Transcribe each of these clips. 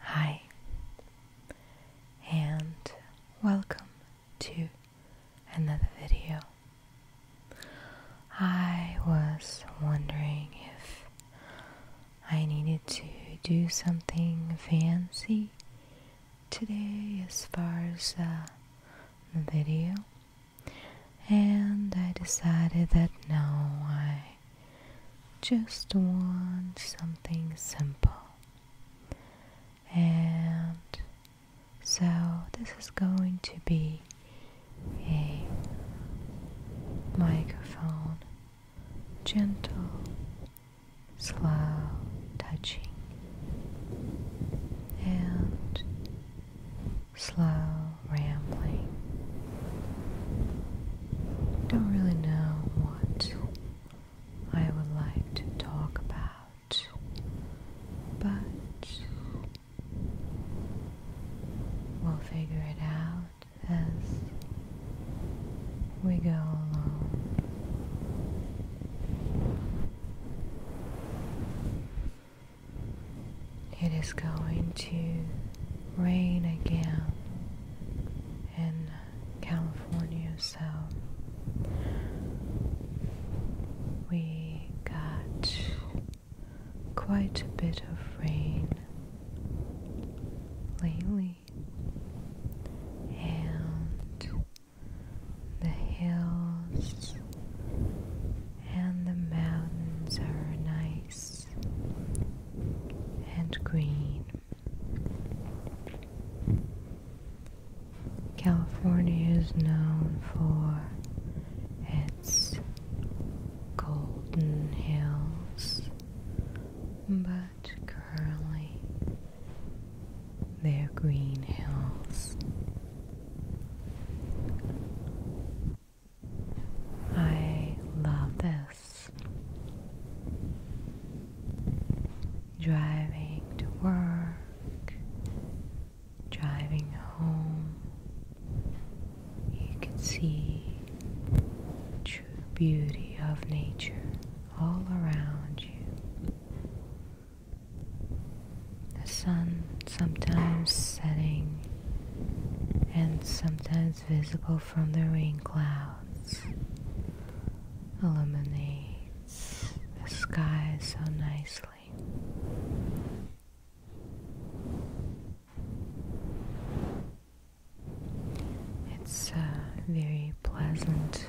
Hi, and welcome to another video. I was wondering if I needed to do something fancy today as far as uh, the video, and I decided that no, I just want something simple. And so this is going to be a microphone, gentle, slow touching, and slow rambling. Don't really know what I would like to talk about, but we'll figure it out as we go along it is going to rain again in California, so we got quite a bit of rain lately, and the hills and the mountains are nice and green. California is known for its golden hills, but currently they're green hills. I love this. Driving to work, driving home, you can see true beauty of nature all around you. The sun sometimes setting and sometimes is visible from the rain clouds illuminates the sky so nicely. It's uh, very pleasant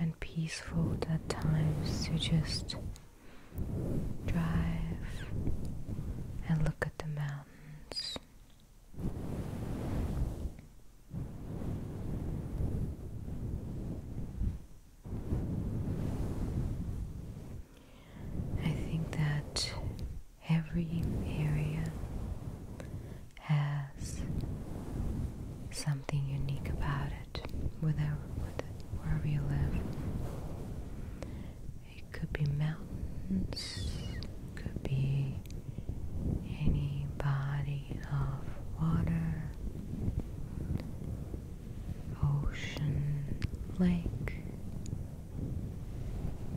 and peaceful at times to just drive and look at the mountains. I think that every area has something unique about it, wherever, you live. It could be mountains, it could be any body of water, ocean, lake,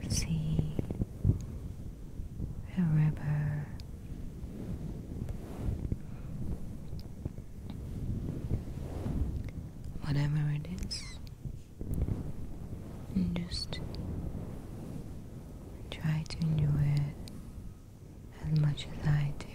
sea, a river. Whatever it is, and just try to enjoy it as much as I do.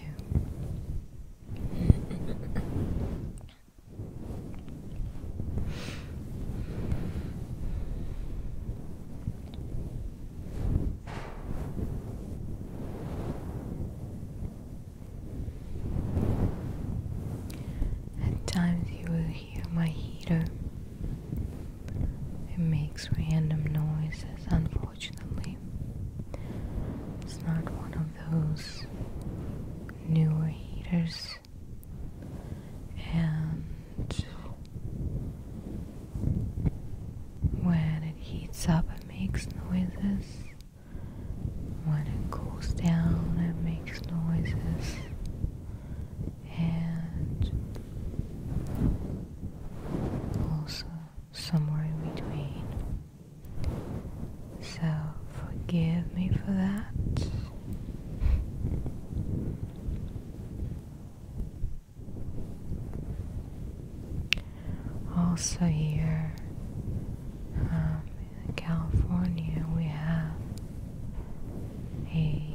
At times you will hear my heater. It makes random noises, unfortunately. It's not one of those newer heaters, and when it heats up, it makes noises. When it cools down, it makes noises, and also somewhere in between. So, forgive me for that. Also, here um, in California we have a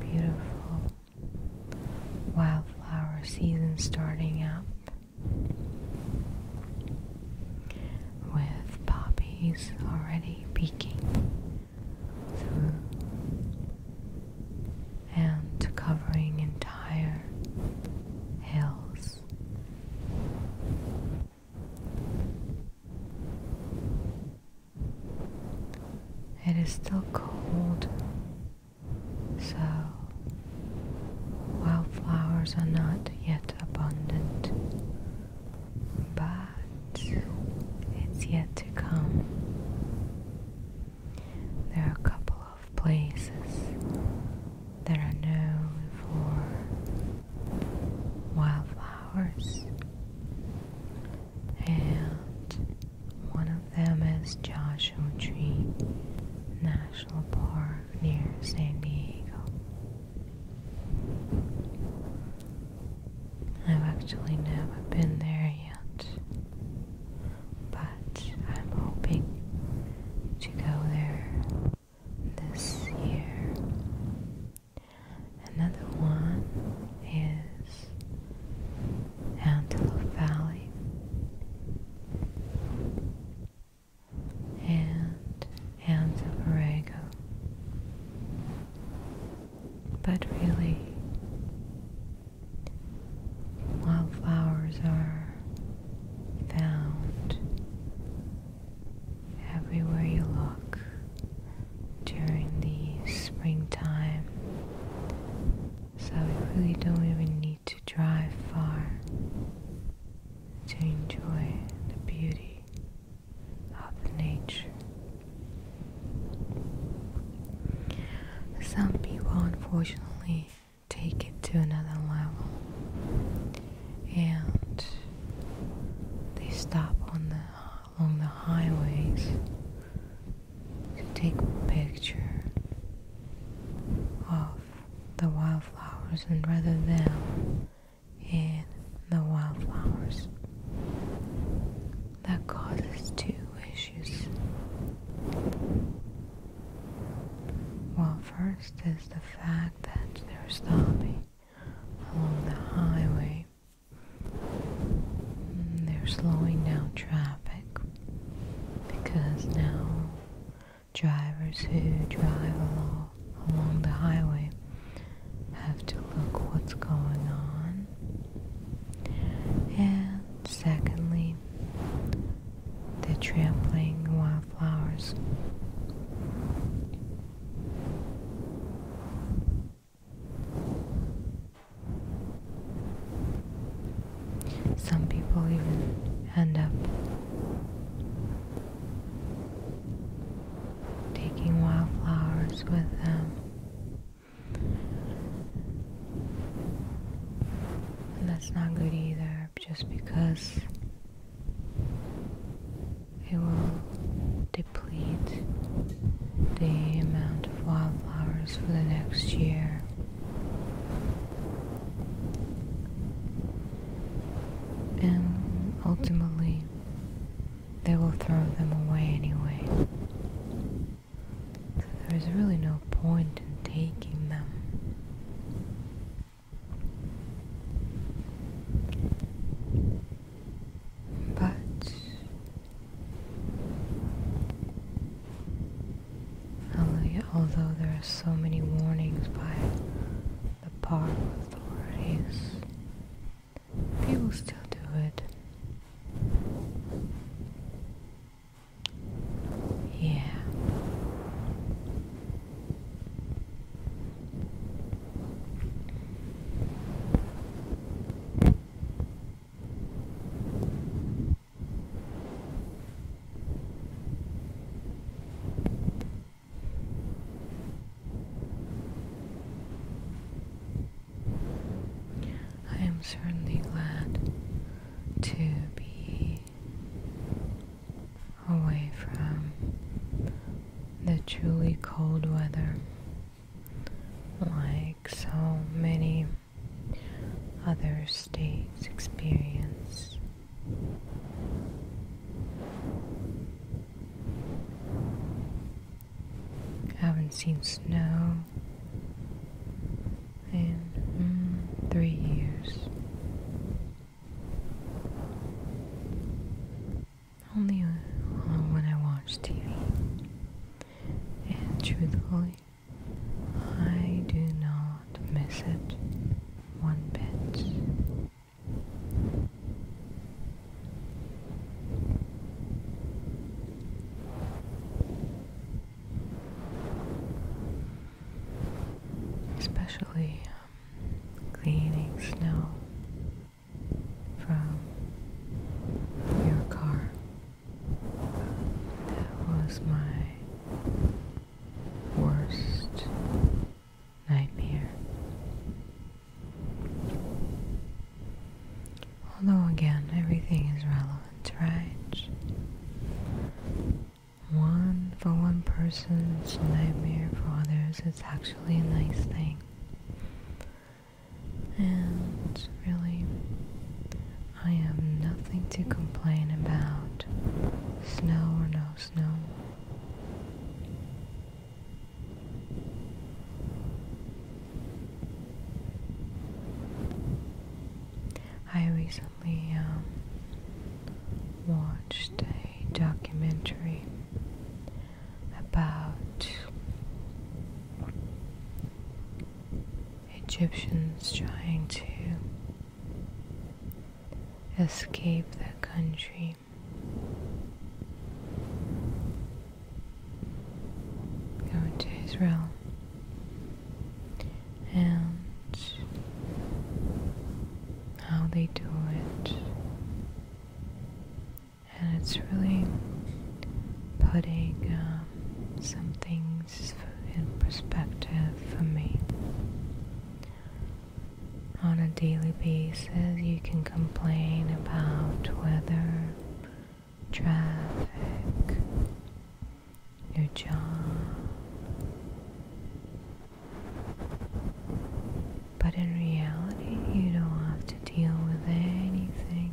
beautiful wildflower season starting up with poppies already peeking through and covering entire hills. It is still cold, so wildflowers are not yet abundant, but it's yet to come. There are a couple of places that are known for wildflowers, and one of them is Joshua Tree National Park near San Diego. I've actually never been there yet, but I'm hoping to go there this year. Another one is Antelope Valley. And Anza But really, wildflowers are found everywhere you look during the springtime. So you really don't even need to drive far to enjoy the beauty of the nature. Some people, unfortunately, take it to another level and they stop on the along the highways to take a picture of the wildflowers and rather than in the wildflowers that causes two issues well first is the fact that they're stopping along the highway. Mm, they're slowing down traffic because now drivers who drive along, along the highway have to look what's going on. And secondly, the trampling wildflowers. Some people even end up taking wildflowers with them. that's not good either, just because it will deplete the amount of wildflowers for the next year. And ultimately, they will throw them away anyway. So there's really no point in taking them. But although there are so many warnings by the park authorities, people still do it. Yeah. I am certainly glad to be away from the truly cold weather, like so many other states experience. haven't seen snow in mm, three years. Only when I watch TV. And truthfully, I do not miss it one bit. Especially um, cleaning snow from your car. That was my worst nightmare. Although, again, everything is relevant, right? one for one person's nightmare for others it's actually a nice thing and really I have nothing to complain about snow or no snow I we um, watched a documentary about Egyptians trying to escape their country. Going to Israel, and how they do it. And it's really putting um, some things in perspective for me. On a daily basis, you can complain about weather, traffic, your job, but in reality, you don't have to deal with anything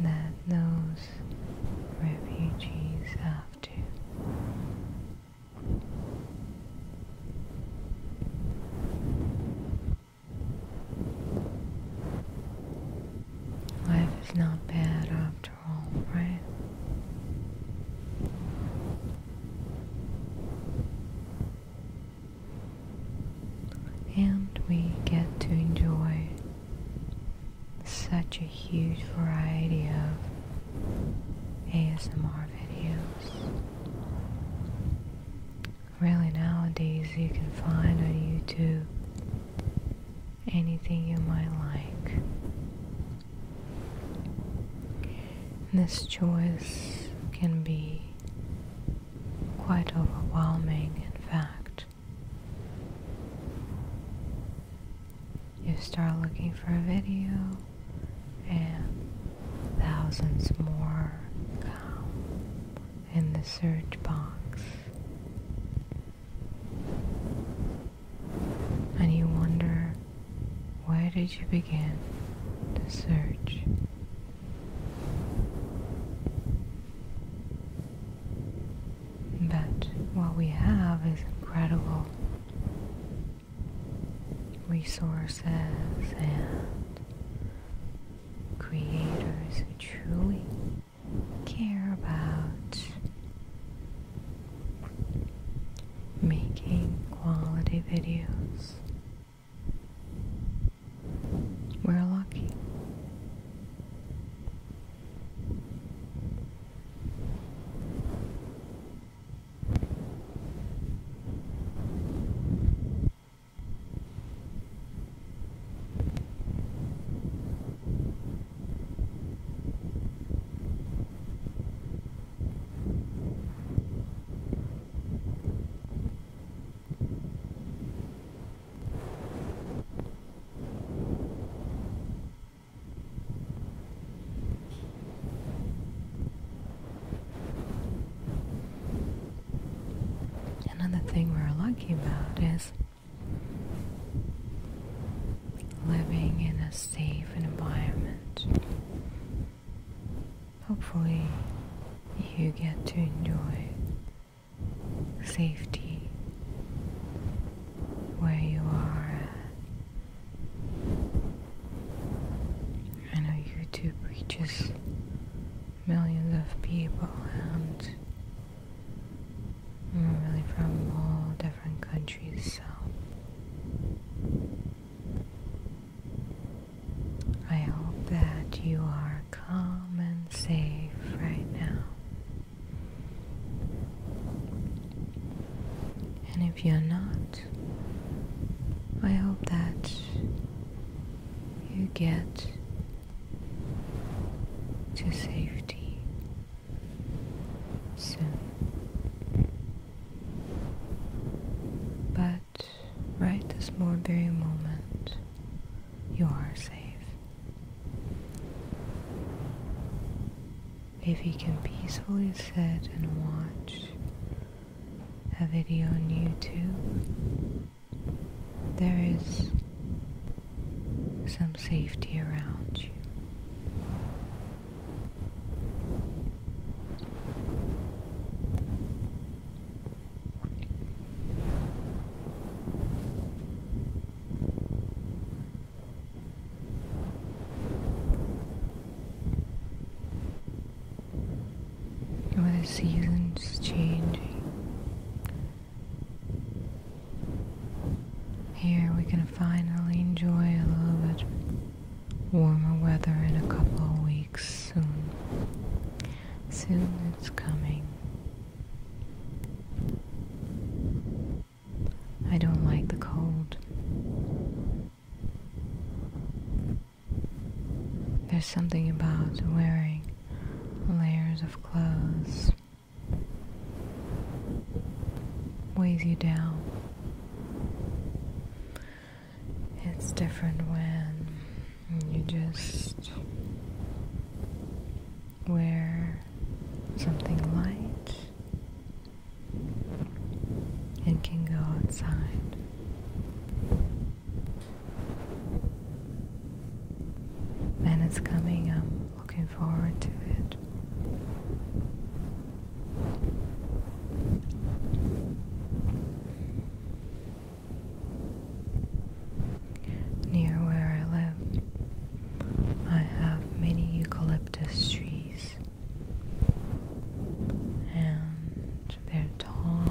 that those refugees have to. Life is not bad after after And we get to enjoy such a huge variety of ASMR videos. Really, nowadays you can find on YouTube anything you might like. And this choice can be quite overwhelming, in fact. You start looking for a video, and thousands more come in the search box and you wonder why did you begin the search? But what we have is incredible resources and creators who truly care about making quality videos. We're lucky. Another thing we're lucky about is living in a safe environment hopefully you get to enjoy safety where you are at. I know YouTube reaches millions of people and we're really from all different countries so I hope that you are calm and safe right now. And if you're not, I hope that you get to safety soon. But right this very moment, you are safe. If you can peacefully sit and watch a video on YouTube, there is some safety around you. With oh, the seasons changing, here we can finally enjoy a little bit warmer weather in a couple of weeks soon. Soon it's coming. I don't like the cold. There's something about wearing layers of clothes weighs you down it's different when you just wear something light and can go outside. And it's coming, I'm looking forward to it. Near where I live, I have many eucalyptus trees, and they're tall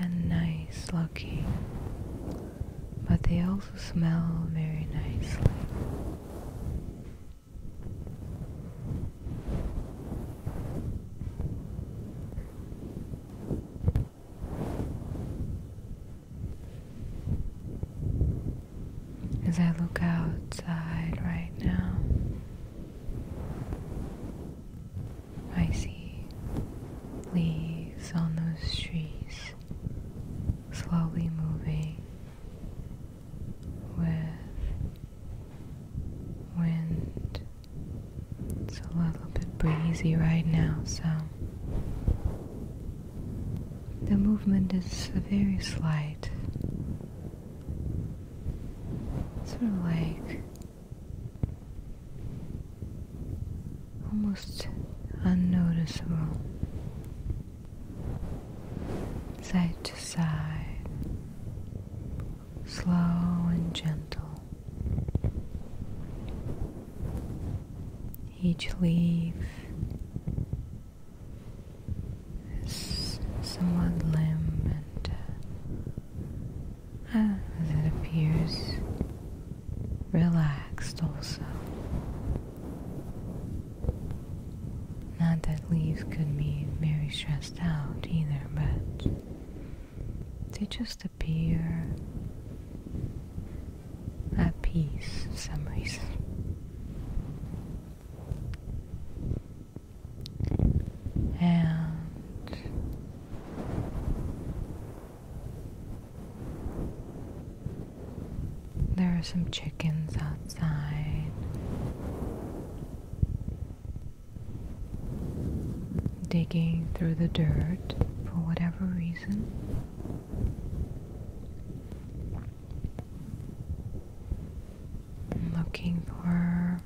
and nice looking but they also smell very nicely. As I look outside right now, I see leaves on those trees slowly moving with wind. It's a little bit breezy right now, so the movement is very slight. Sort of like almost unnoticeable, side to side, slow and gentle. Each leaf is somewhat limp and uh, as it appears relaxed also. Not that leaves could be very stressed out either, but they just appear at peace for some reason. And there are some chickens outside. Digging through the dirt for whatever reason. Looking for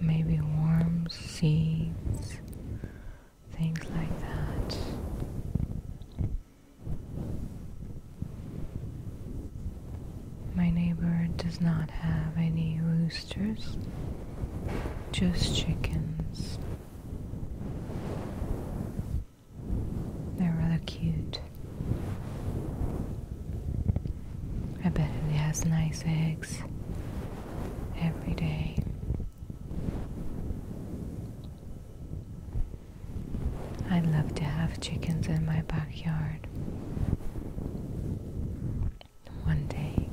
maybe worms, seeds, things like that. My neighbor does not have any roosters, just chickens. They're rather cute. I bet it has nice eggs every day. I would love to have chickens in my backyard. One day,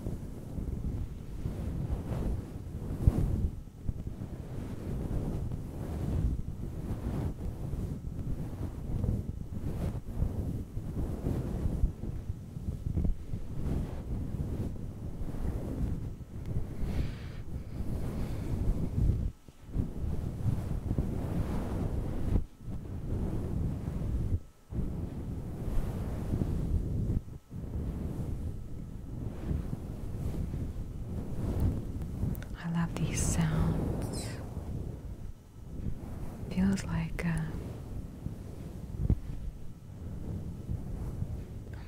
I love these sounds. Feels like uh,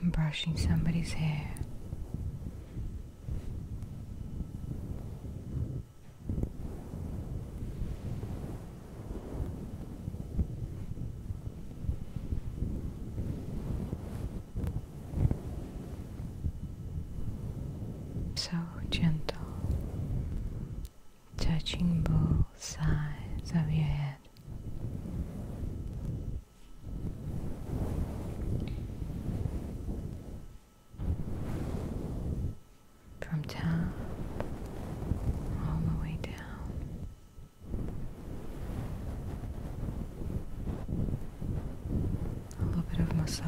I'm brushing somebody's hair. So gentle, touching both sides of your head from top all the way down. A little bit of massage.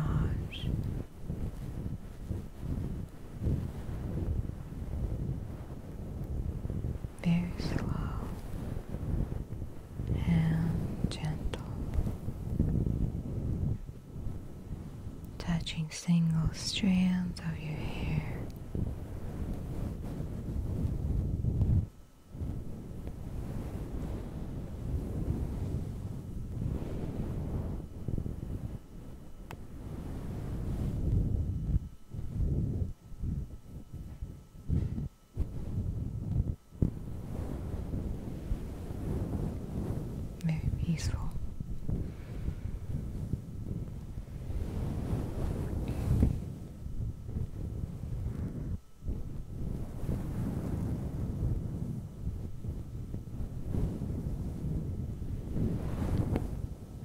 Very slow and gentle, touching single strands of your hair. Very peaceful.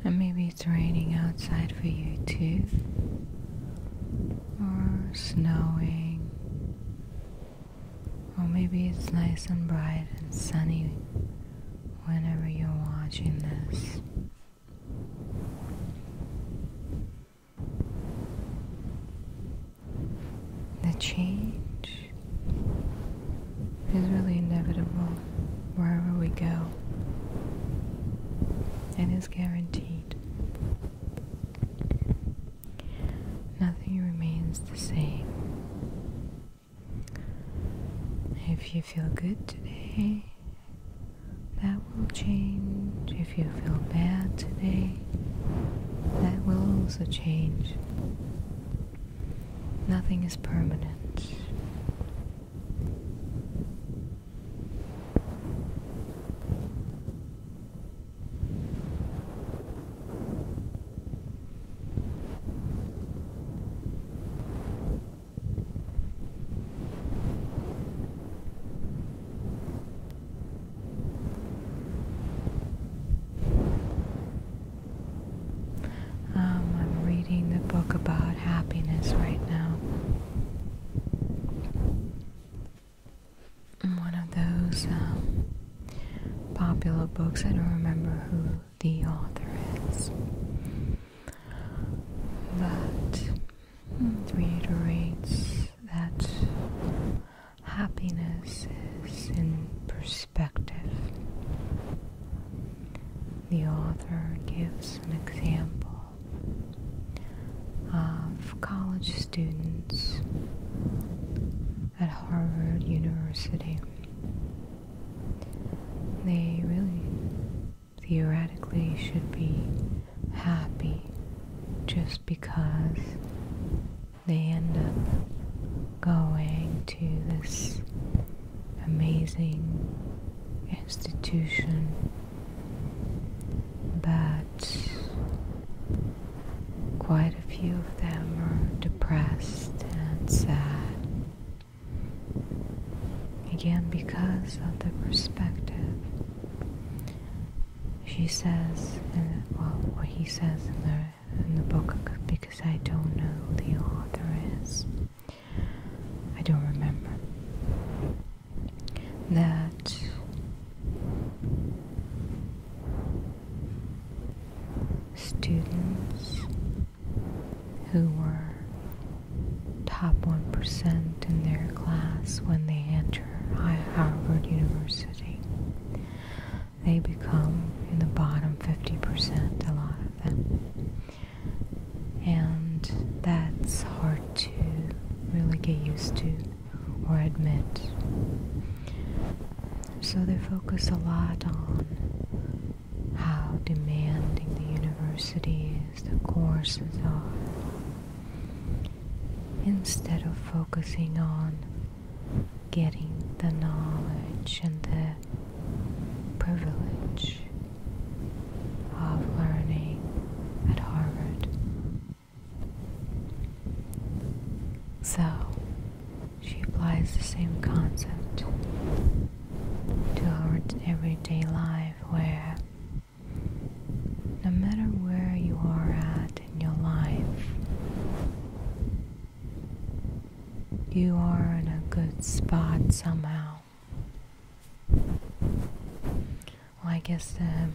And maybe it's raining outside for you too or snowing, or maybe it's nice and bright and sunny whenever you're watching this. The change is really inevitable wherever we go. and is guaranteed. Nothing remains the same. If you feel good today, that will change. If you feel bad today, that will also change. Nothing is permanent. Um, I'm reading the book about happiness right now one of those um, popular books. I don't remember who the author is, but it reiterates that happiness is in perspective. The author gives an example of college students at Harvard University. They really theoretically should be happy just because they end up going to this amazing institution but quite a few of them are depressed and sad. Again, because of the perspective. She says, and well, what he says in the, in the book, because I don't know who the author is. I don't remember that students who were top 1% in their class when they enter Harvard University, they become in the bottom 50%, a lot of them. And that's hard to really get used to or admit. So they focus a lot on how demanding the universities, the courses are, instead of focusing on getting the knowledge and the privilege of learning at Harvard so, she applies the same concept to our everyday life where no matter where you are at in your life, you are in a good spot somehow. Well, I guess um,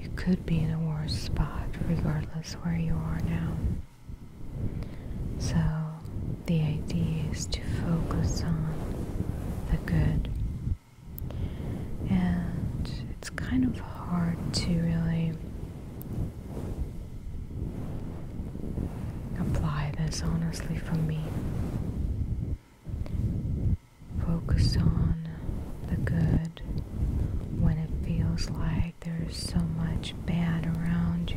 you could be in a worse spot regardless where you are now. So, the idea is to focus on the good. And it's kind of hard to really apply this honestly for me. Focus on the good when it feels like there's so much bad around you.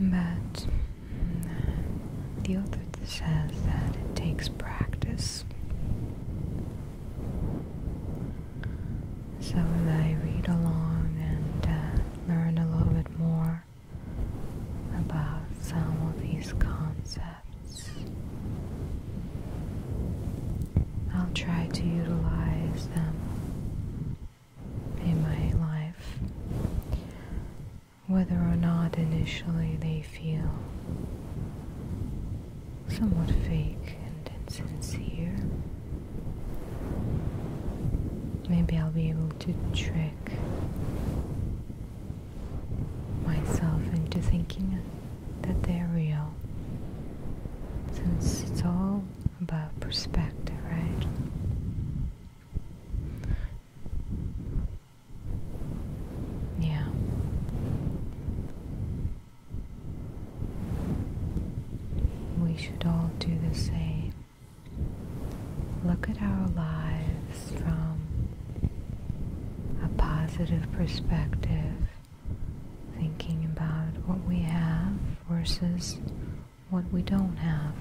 But the author says that it takes practice. So as I read along and uh, learn a little bit more about some of these concepts. I'll try to utilize them in my life, whether or not initially they feel somewhat fake and insincere. Maybe I'll be able to trick myself into thinking that they're real. Since it's all about perspective, right? Yeah. We should all do the same. Look at our lives from a positive perspective, thinking about what we have versus what we don't have.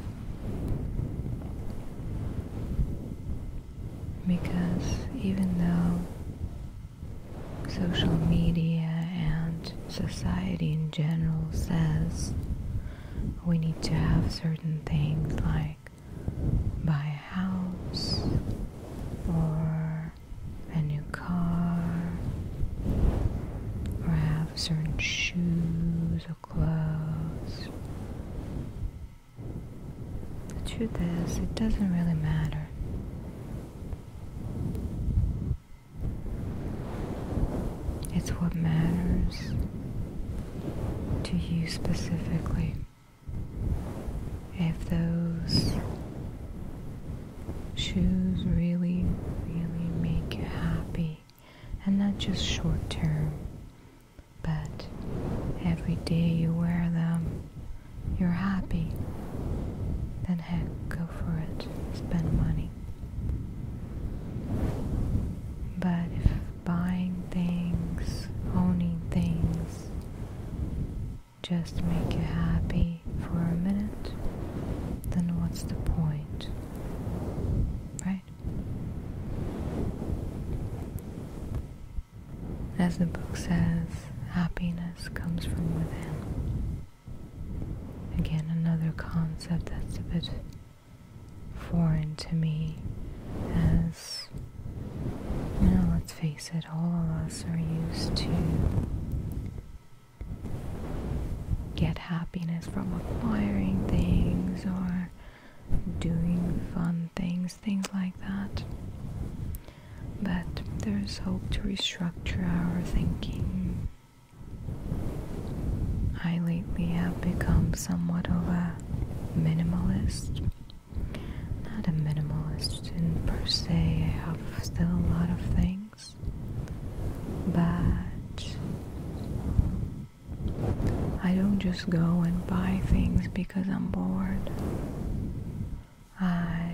Because even though social media and society in general says we need to have certain things like like buy a house or a new car or have certain shoes or clothes. The truth is, it doesn't really matter. It's what matters to you specifically. If those shoes really, really make you happy, and not just short term, but every day you wear them, you're happy, then heck, go for it. Spend money. But if buying things, owning things just make you happy for a minute, then what's the point? Right? As the book says, happiness comes from within. Again, another concept that's a bit foreign to me as now let's face it all of us are used to get happiness from acquiring things or doing fun things things like that but there's hope to restructure our thinking I lately have become somewhat of a minimalist. Not a minimalist in per se, I have still a lot of things, but I don't just go and buy things because I'm bored. I,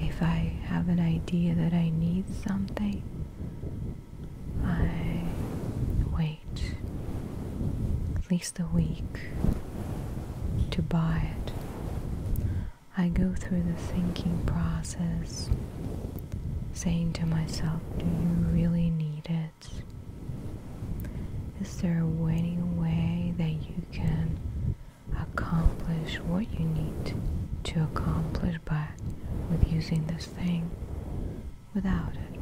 if I have an idea that I need something, I wait at least a week to buy it. I go through the thinking process, saying to myself, Do you really need it? Is there any way that you can accomplish what you need to accomplish by with using this thing? without it?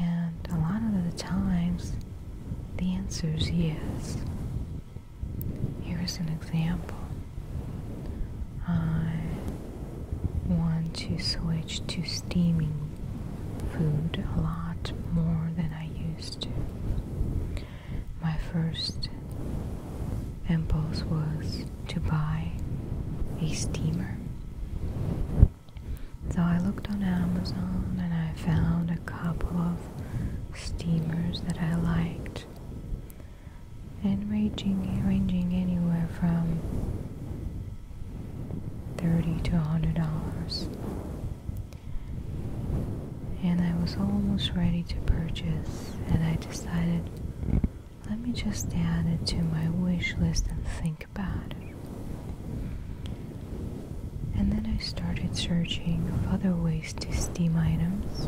And a lot of the times, the answer is yes. Here's an example. I want to switch to steaming food a lot more than I used to. My first impulse was to buy a steamer. So I looked on Amazon and I found a couple of steamers that I liked and ranging ranging anywhere from 30 to 100 dollars and I was almost ready to purchase and I decided let me just add it to my wish list and think about it. And then I started searching of other ways to steam items.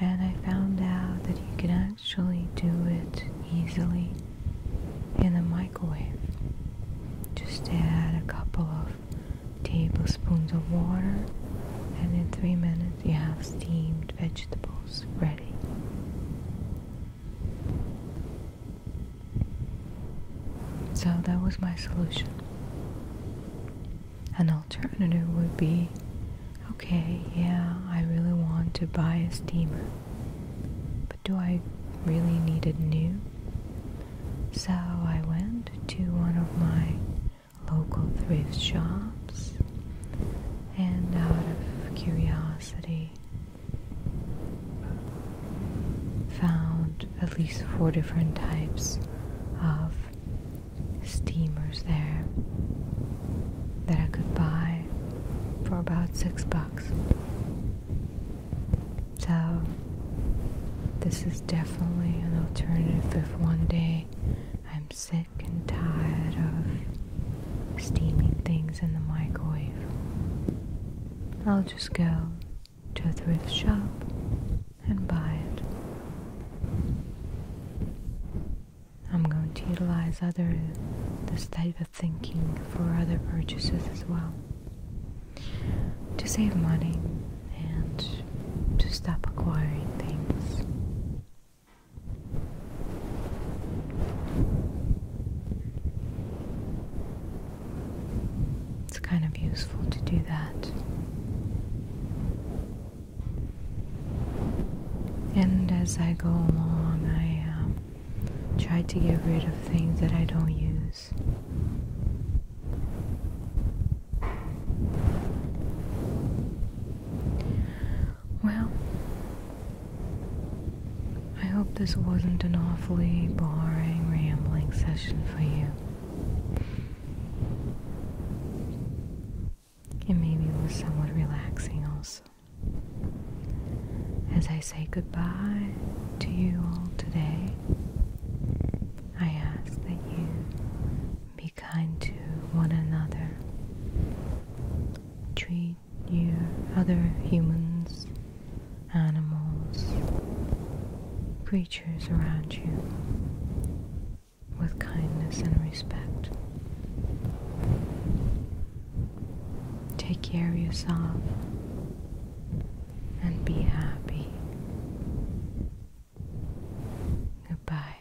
And I found out that you can actually do it easily in the microwave. Just add a couple of tablespoons of water and in three minutes you have steamed vegetables ready. So that was my solution. An alternative would be okay, yeah, I really want to buy a steamer, but do I really need a new? So I went to one of my local thrift shops and out of curiosity found at least four different types of steamers there that I could buy for about six bucks. So, this is definitely an alternative if one day I'm sick and tired of steaming things in the microwave. I'll just go to a thrift shop and buy it. I'm going to utilize other this type of thinking for other purchases as well to save money and to stop acquiring things it's kind of useful to do that. And as I go along, I um, try to get rid of things that I don't use. Well, I hope this wasn't an awfully boring, rambling session for you. And maybe it was somewhat relaxing also. As I say goodbye to you all today, I ask that you be kind to one another, treat your other humans, animals, creatures around you with kindness and respect. Take care of yourself and be happy. Goodbye.